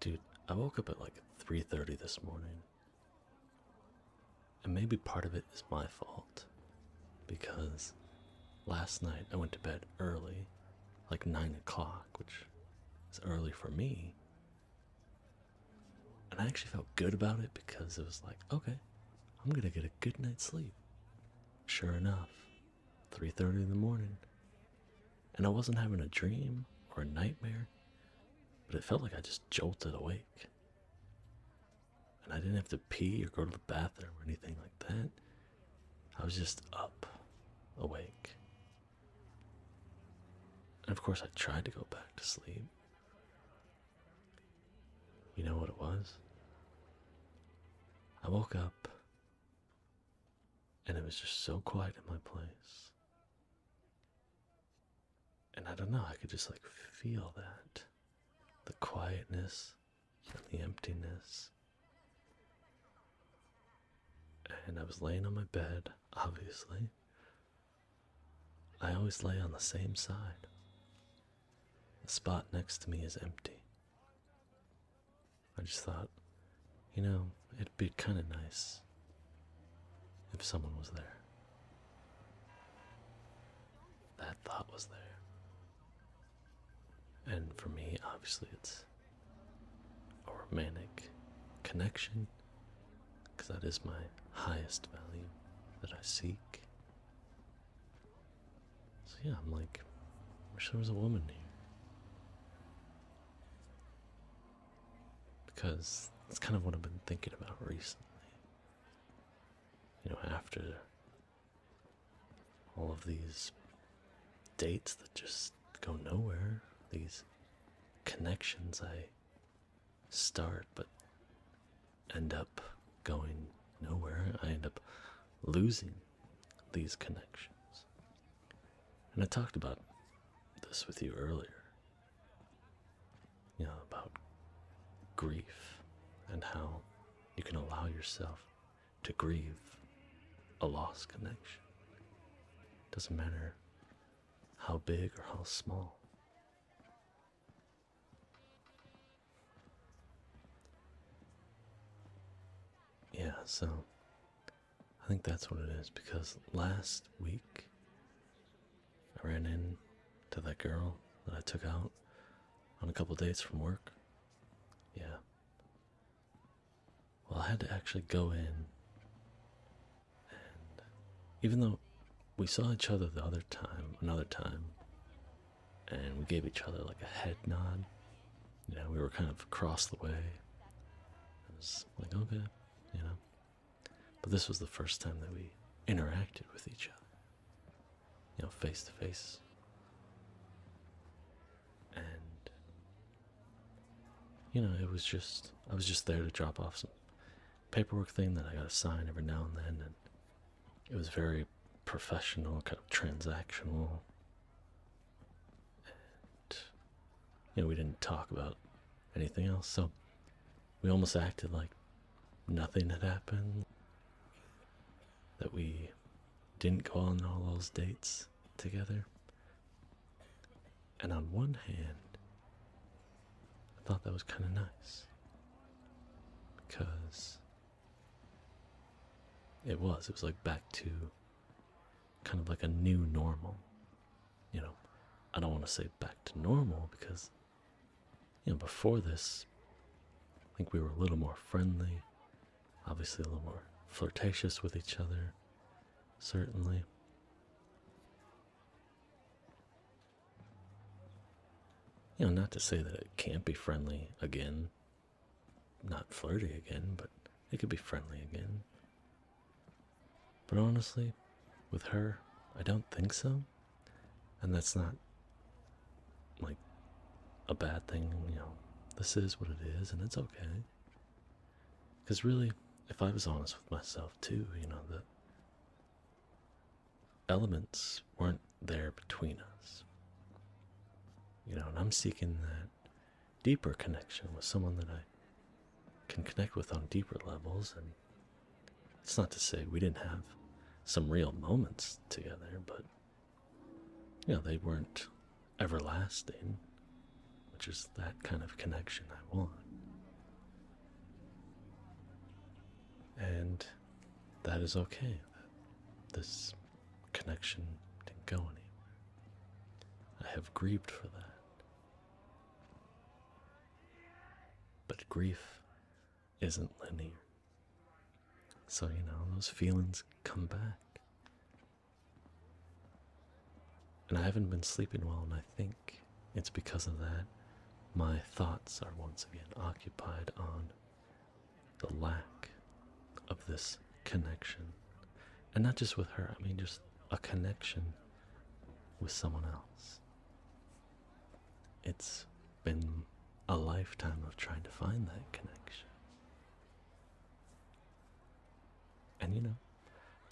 Dude, I woke up at like 3:30 this morning. And maybe part of it is my fault because last night I went to bed early, like 9 o'clock, which is early for me. And I actually felt good about it because it was like, okay, I'm gonna get a good night's sleep. Sure enough, 3:30 in the morning. And I wasn't having a dream or a nightmare, but it felt like I just jolted awake. And I didn't have to pee or go to the bathroom or anything like that. I was just up, awake. And of course, I tried to go back to sleep. You know what it was? I woke up and it was just so quiet in my place. And I don't know, I could just like feel that the quietness and the emptiness. And I was laying on my bed, obviously. I always lay on the same side. The spot next to me is empty, I just thought, you know, it'd be kind of nice if someone was there. That thought was there. And for me, obviously, it's a romantic connection because that is my highest value that I seek. So, yeah, I'm like, wish there was a woman here. Because that's kind of what I've been thinking about recently. You know, after all of these dates that just go nowhere, these connections I start but end up going nowhere, I end up losing these connections. And I talked about this with you earlier. You know, about grief and how you can allow yourself to grieve a lost connection. Doesn't matter how big or how small. Yeah, so I think that's what it is because last week I ran into that girl that I took out on a couple dates from work. Yeah. Well, I had to actually go in, and even though we saw each other the other time, another time, and we gave each other like a head nod you know, we were kind of across the way. I was like, okay, you know. But this was the first time that we interacted with each other, you know, face to face. And, you know, it was just, I was just there to drop off some paperwork thing that I got to sign every now and then. And it was very professional, kind of transactional. And, you know, we didn't talk about anything else, so we almost acted like nothing had happened. That we didn't go on all those dates together. And on one hand, I thought that was kind of nice because it was. It was like back to kind of like a new normal. You know, I don't want to say back to normal because, you know, before this, I think we were a little more friendly, obviously a little more flirtatious with each other, certainly. You know, not to say that it can't be friendly again not flirty again, but it could be friendly again. But honestly, with her, I don't think so. And that's not like a bad thing, you know. This is what it is, and it's okay. Because really, if I was honest with myself too, you know, the elements weren't there between us. You know, and I'm seeking that deeper connection with someone that I can connect with on deeper levels. And it's not to say we didn't have some real moments together, but you know, they weren't everlasting, which is that kind of connection I want. And that is okay. This connection didn't go anywhere. I have grieved for that. But grief isn't linear. So, you know, those feelings come back. And I haven't been sleeping well, and I think it's because of that my thoughts are once again occupied on the lack of this connection. And not just with her, I mean, just a connection with someone else. It's been a lifetime of trying to find that connection. And you know,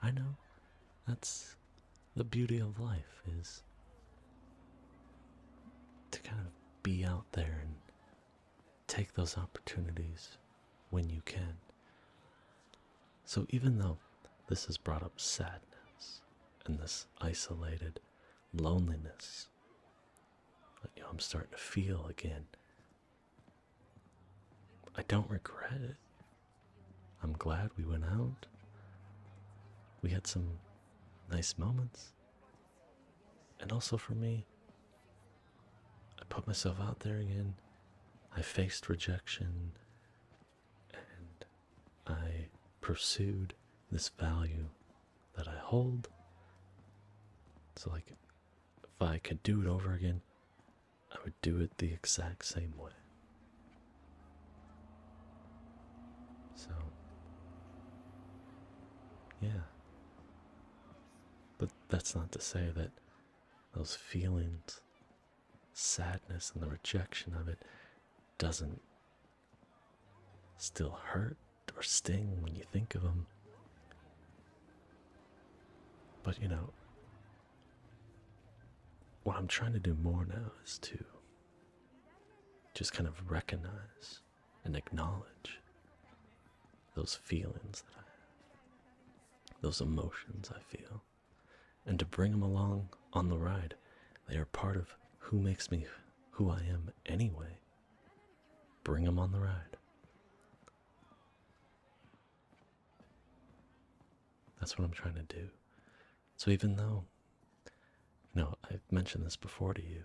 I know that's the beauty of life is to kind of be out there and take those opportunities when you can. So, even though this has brought up sadness and this isolated loneliness, you know, I'm starting to feel again. I don't regret it. I'm glad we went out. We had some nice moments. And also for me, I put myself out there again. I faced rejection and I pursued this value that I hold. So, like, if I could do it over again, I would do it the exact same way. So, yeah. But that's not to say that those feelings, sadness, and the rejection of it doesn't still hurt or sting when you think of them. But you know, what I'm trying to do more now is to just kind of recognize and acknowledge those feelings that I have, those emotions I feel, and to bring them along on the ride. They are part of who makes me who I am anyway. Bring them on the ride. That's what I'm trying to do. So even though now, I've mentioned this before to you,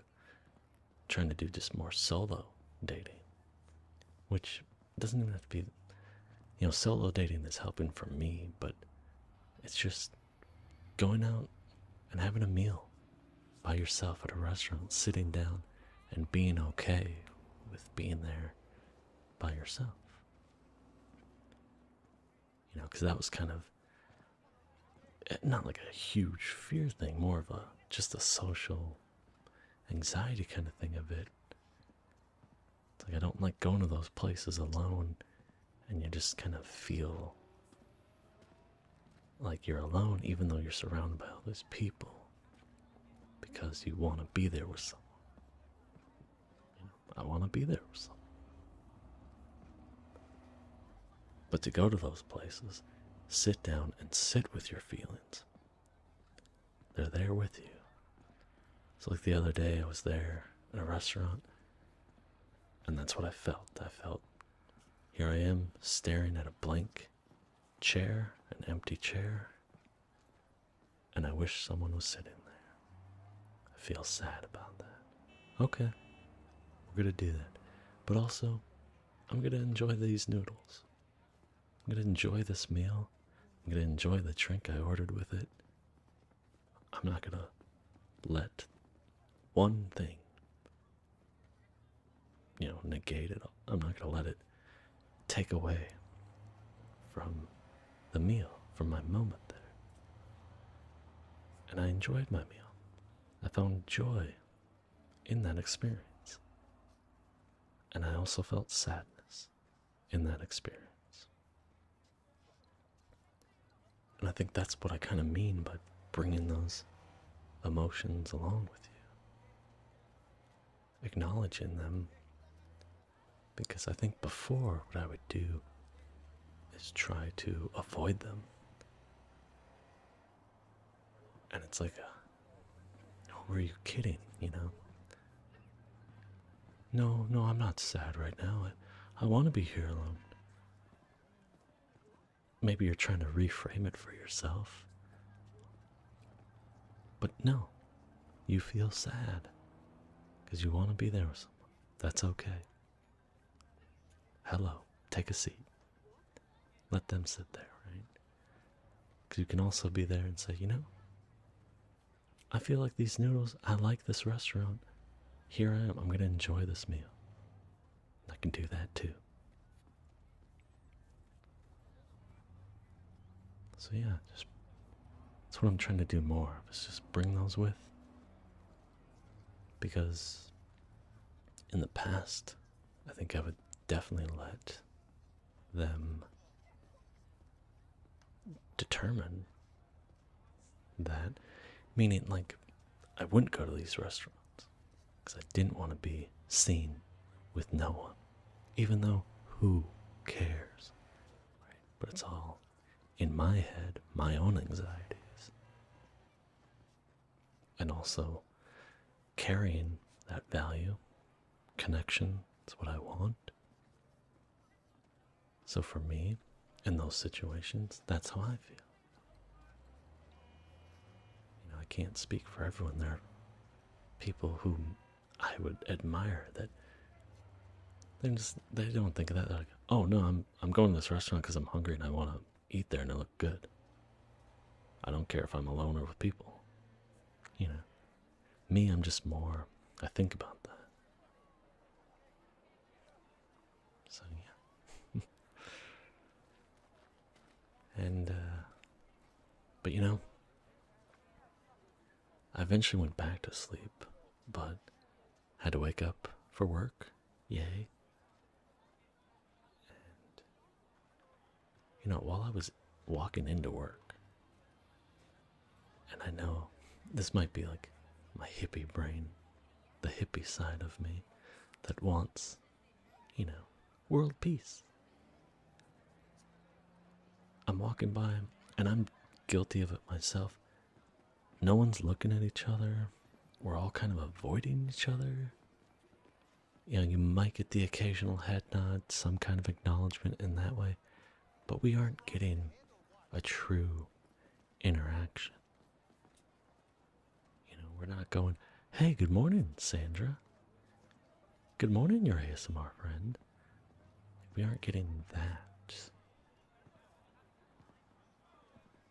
trying to do just more solo dating, which doesn't even have to be, you know, solo dating That's helping for me, but it's just going out and having a meal by yourself at a restaurant, sitting down and being okay with being there by yourself you know, because that was kind of eh, not like a huge fear thing, more of a just a social anxiety kind of thing of it. It's like I don't like going to those places alone, and you just kind of feel like you're alone, even though you're surrounded by all those people, because you want to be there with someone. I want to be there with someone. But to go to those places, sit down and sit with your feelings. They're there with you. So, like the other day, I was there at a restaurant, and that's what I felt. I felt here I am staring at a blank chair, an empty chair, and I wish someone was sitting there. I feel sad about that. Okay, we're gonna do that. But also, I'm gonna enjoy these noodles. I'm gonna enjoy this meal. I'm gonna enjoy the drink I ordered with it. I'm not gonna let one thing, you know, negate it. I'm not gonna let it take away from the meal, from my moment there and I enjoyed my meal. I found joy in that experience. And I also felt sadness in that experience. And I think that's what I kind of mean by bringing those emotions along with you, acknowledging them. Because I think before, what I would do is try to avoid them and it's like a uh, who are you kidding, you know? No, no, I'm not sad right now. I, I want to be here alone. Maybe you're trying to reframe it for yourself. But no, you feel sad because you want to be there with someone. That's okay. Hello, take a seat. Let them sit there, right? Because you can also be there and say, you know, I feel like these noodles, I like this restaurant. Here I am, I'm going to enjoy this meal. I can do that too. So, yeah, just that's what I'm trying to do more of is just bring those with because in the past, I think I would definitely let them determine that. Meaning, like, I wouldn't go to these restaurants because I didn't want to be seen with no one. Even though, who cares? Right? But it's all in my head my own anxieties. And also carrying that value, connection, it's what I want. So for me, in those situations, that's how I feel. You know, I can't speak for everyone. There are people who I would admire that they just, they don't think of that. oh no, I'm I'm going to this restaurant because I'm hungry and I want to eat there and it look good. I don't care if I'm alone or with people. You know, me, I'm just more. I think about that. So yeah. and uh, but you know, I eventually went back to sleep, but had to wake up for work. Yay. you know, while I was walking into work, and I know this might be like my hippie brain, the hippie side of me that wants, you know, world peace. I'm walking by and I'm guilty of it myself. No one's looking at each other. We're all kind of avoiding each other. You know, you might get the occasional head nod, some kind of acknowledgement in that way, but we aren't getting a true interaction. You know, we're not going, hey, good morning, Sandra. Good morning, your ASMR friend. We aren't getting that.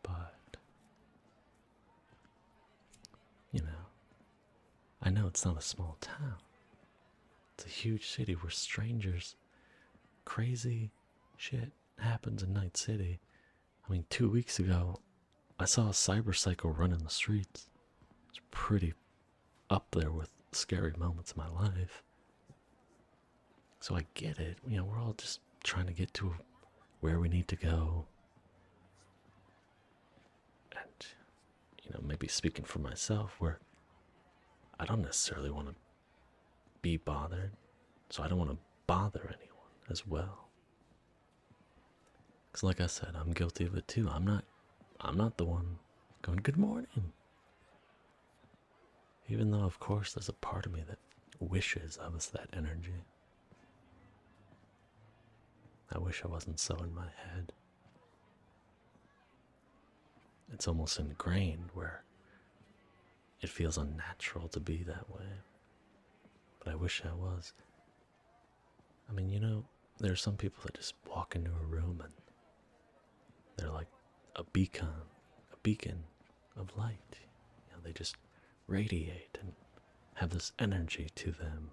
But, you know, I know it's not a small town, it's a huge city where strangers, crazy shit happens in Night City. I mean, two weeks ago, I saw a cybercycle run in the streets. It's pretty up there with scary moments in my life. So I get it. You know, we're all just trying to get to where we need to go. And, you know, maybe speaking for myself, where I don't necessarily want to be bothered, so I don't want to bother anyone as well. Because, like I said, I'm guilty of it too. I'm not, I'm not the one going, good morning. Even though, of course, there's a part of me that wishes I was that energy. I wish I wasn't so in my head. It's almost ingrained where it feels unnatural to be that way. But I wish I was. I mean, you know, there are some people that just walk into a room and they're like a beacon, a beacon of light. You know, they just radiate and have this energy to them.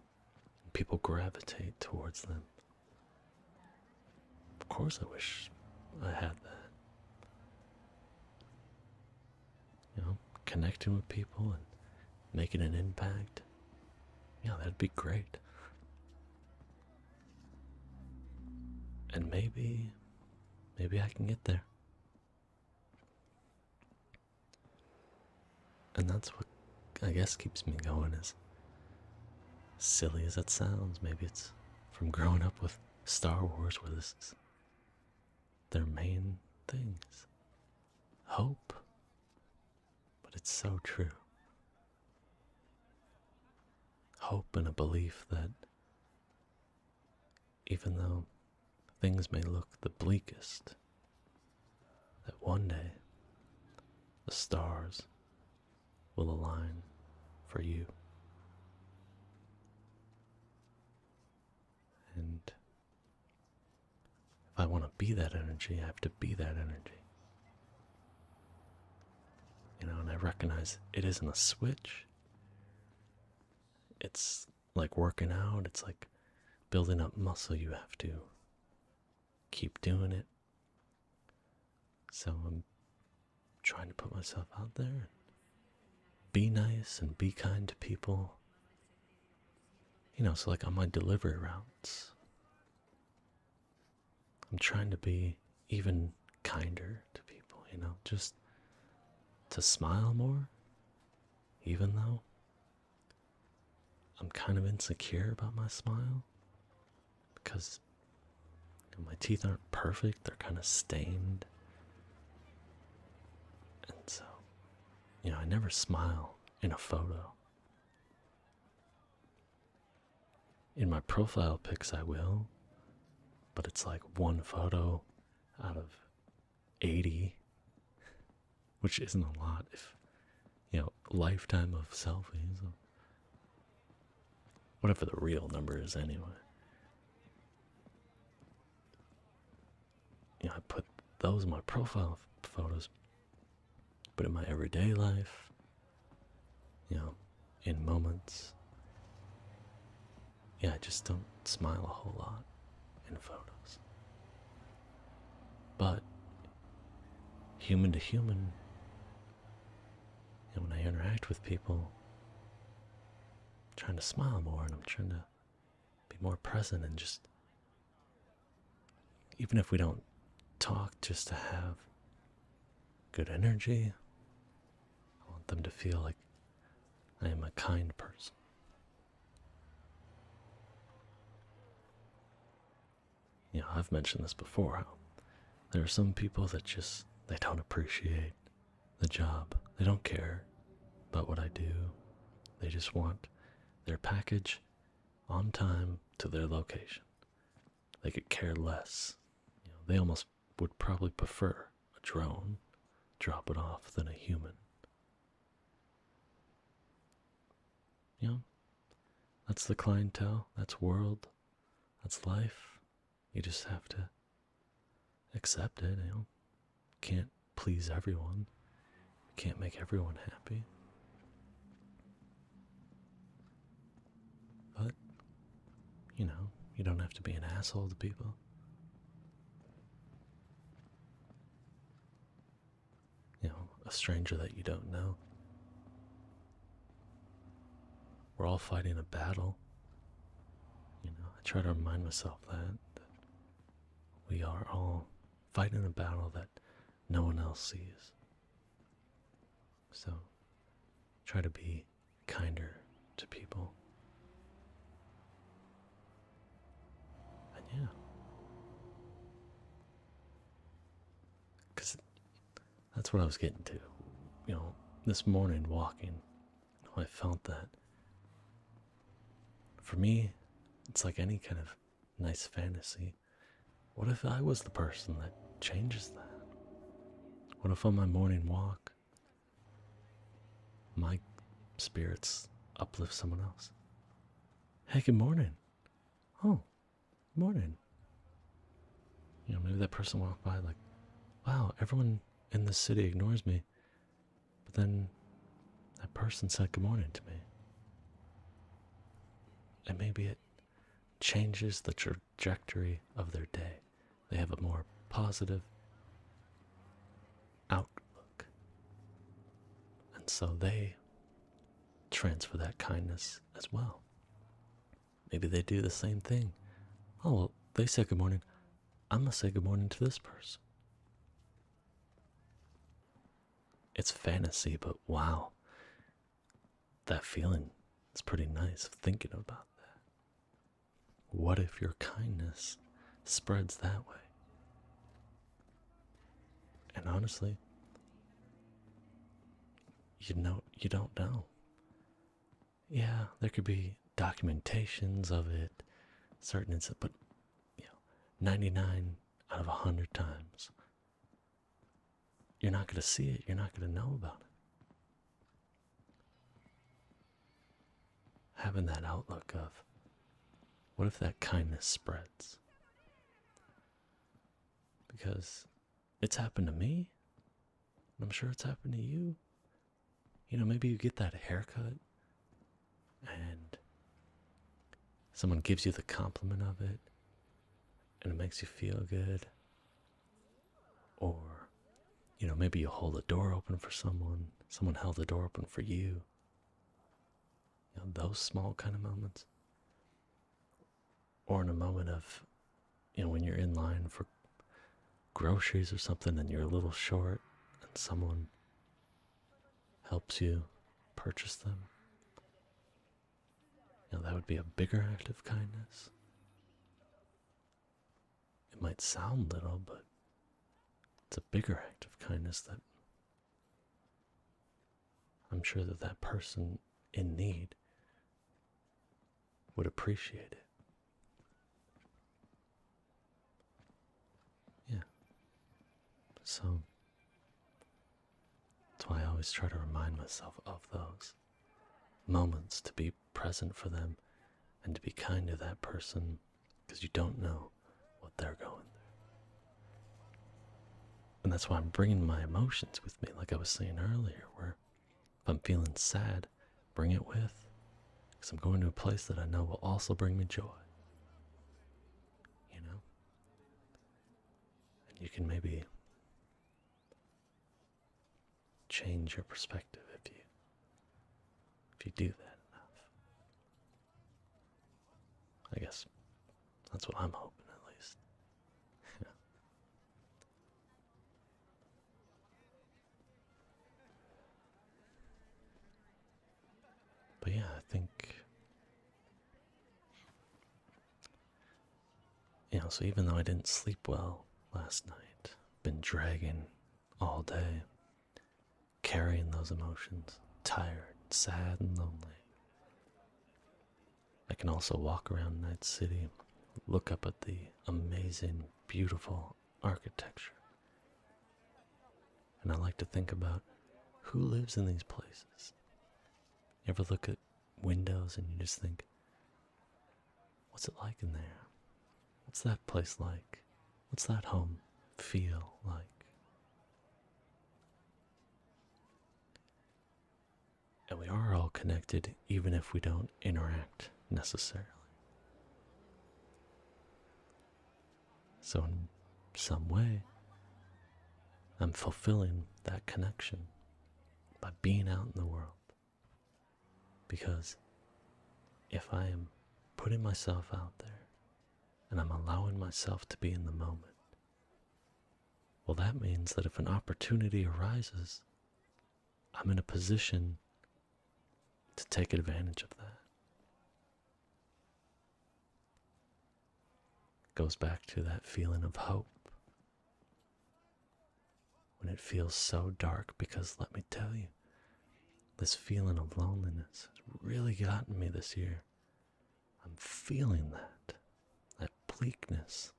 People gravitate towards them. Of course, I wish I had that. You know, connecting with people and making an impact. Yeah, that'd be great. And maybe, maybe I can get there. And that's what I guess keeps me going, as silly as it sounds. Maybe it's from growing up with Star Wars, where this is their main things hope. But it's so true hope and a belief that even though things may look the bleakest, that one day the stars will align for you. And if I want to be that energy, I have to be that energy. You know, and I recognize it isn't a switch. It's like working out, it's like building up muscle. You have to keep doing it. So I'm trying to put myself out there and be nice and be kind to people. You know, so like on my delivery routes, I'm trying to be even kinder to people, you know, just to smile more, even though I'm kind of insecure about my smile because my teeth aren't perfect, they're kind of stained. And so, you know, I never smile in a photo. In my profile pics, I will, but it's like one photo out of 80, which isn't a lot if, you know, lifetime of selfies. Whatever the real number is, anyway. You know, I put those in my profile photos but in my everyday life, you know, in moments, yeah, I just don't smile a whole lot in photos. But human to human, and when I interact with people, I'm trying to smile more and I'm trying to be more present and just even if we don't talk, just to have good energy. I want them to feel like I am a kind person. You I've mentioned this before there are some people that just they don't appreciate the job. They don't care about what I do. They just want their package on time to their location. They could care less. they almost would probably prefer a drone drop it off than a human. You know, that's the clientele, that's world, that's life. You just have to accept it, you know. Can't please everyone. Can't make everyone happy. But, you know, you don't have to be an asshole to people. You know, a stranger that you don't know. We're all fighting a battle. You know, I try to remind myself that, we are all fighting a battle that no one else sees. So try to be kinder to people. And yeah. Because that's what I was getting to. You know, this morning walking, I felt that. For me, it's like any kind of nice fantasy. What if I was the person that changes that? What if on my morning walk, my spirits uplift someone else? Hey, good morning. Oh, morning. You know, maybe that person walked by like, wow, everyone in the city ignores me. But then that person said good morning to me and maybe it changes the trajectory of their day. They have a more positive outlook. And so they transfer that kindness as well. Maybe they do the same thing. Oh, well, they say good morning. I'm going to say good morning to this person it's fantasy, but wow, that feeling is pretty nice thinking about that. What if your kindness spreads that way? And honestly, you know, you don't know. Yeah, there could be documentations of it, certain incidents, but you know, 99 out of 100 times you're not going to see it. You're not going to know about it. Having that outlook of what if that kindness spreads? Because it's happened to me, I'm sure it's happened to you. You know, maybe you get that haircut and someone gives you the compliment of it and it makes you feel good or you know maybe you hold the door open for someone someone held the door open for you you know, those small kind of moments or in a moment of you know when you're in line for groceries or something and you're a little short and someone helps you purchase them. Now, that would be a bigger act of kindness. It might sound little, but it's a bigger act of kindness that I'm sure that that person in need would appreciate it. Yeah. So that's why I always try to remind myself of those moments to be present for them and to be kind to that person because you don't know what they're going through. And that's why I'm bringing my emotions with me, like I was saying earlier, where if I'm feeling sad, bring it with because I'm going to a place that I know will also bring me joy. You know? And you can maybe change your perspective if you if you do that enough. I guess that's what I'm hoping at least. But yeah, I think. yeah. so even though I didn't sleep well last night, been dragging all day, carrying those emotions, tired, sad, and lonely, I can also walk around Night City, look up at the amazing, beautiful architecture, and I like to think about who lives in these places. You ever look at windows and you just think, what's it like in there? What's that place like? What's that home feel like? And we are all connected even if we don't interact necessarily. So, in some way, I'm fulfilling that connection by being out in the world. Because if I am putting myself out there and I'm allowing myself to be in the moment, well, that means that if an opportunity arises, I'm in a position to take advantage of that. Goes back to that feeling of hope when it feels so dark. Because let me tell you, this feeling of loneliness has really gotten me this year. I'm feeling that, that bleakness.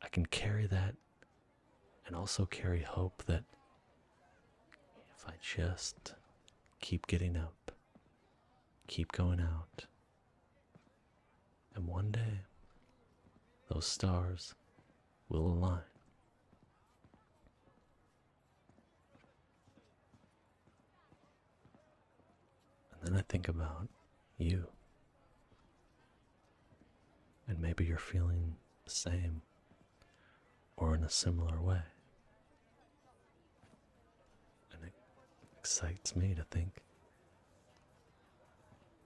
I can carry that and also carry hope that if I just keep getting up, keep going out, and one day those stars will align. And then I think about you. And maybe you're feeling the same or in a similar way. And it excites me to think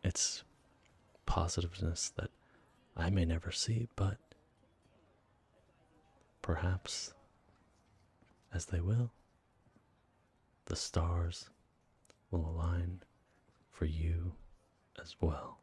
it's positiveness that I may never see, but perhaps as they will, the stars will align for you as well.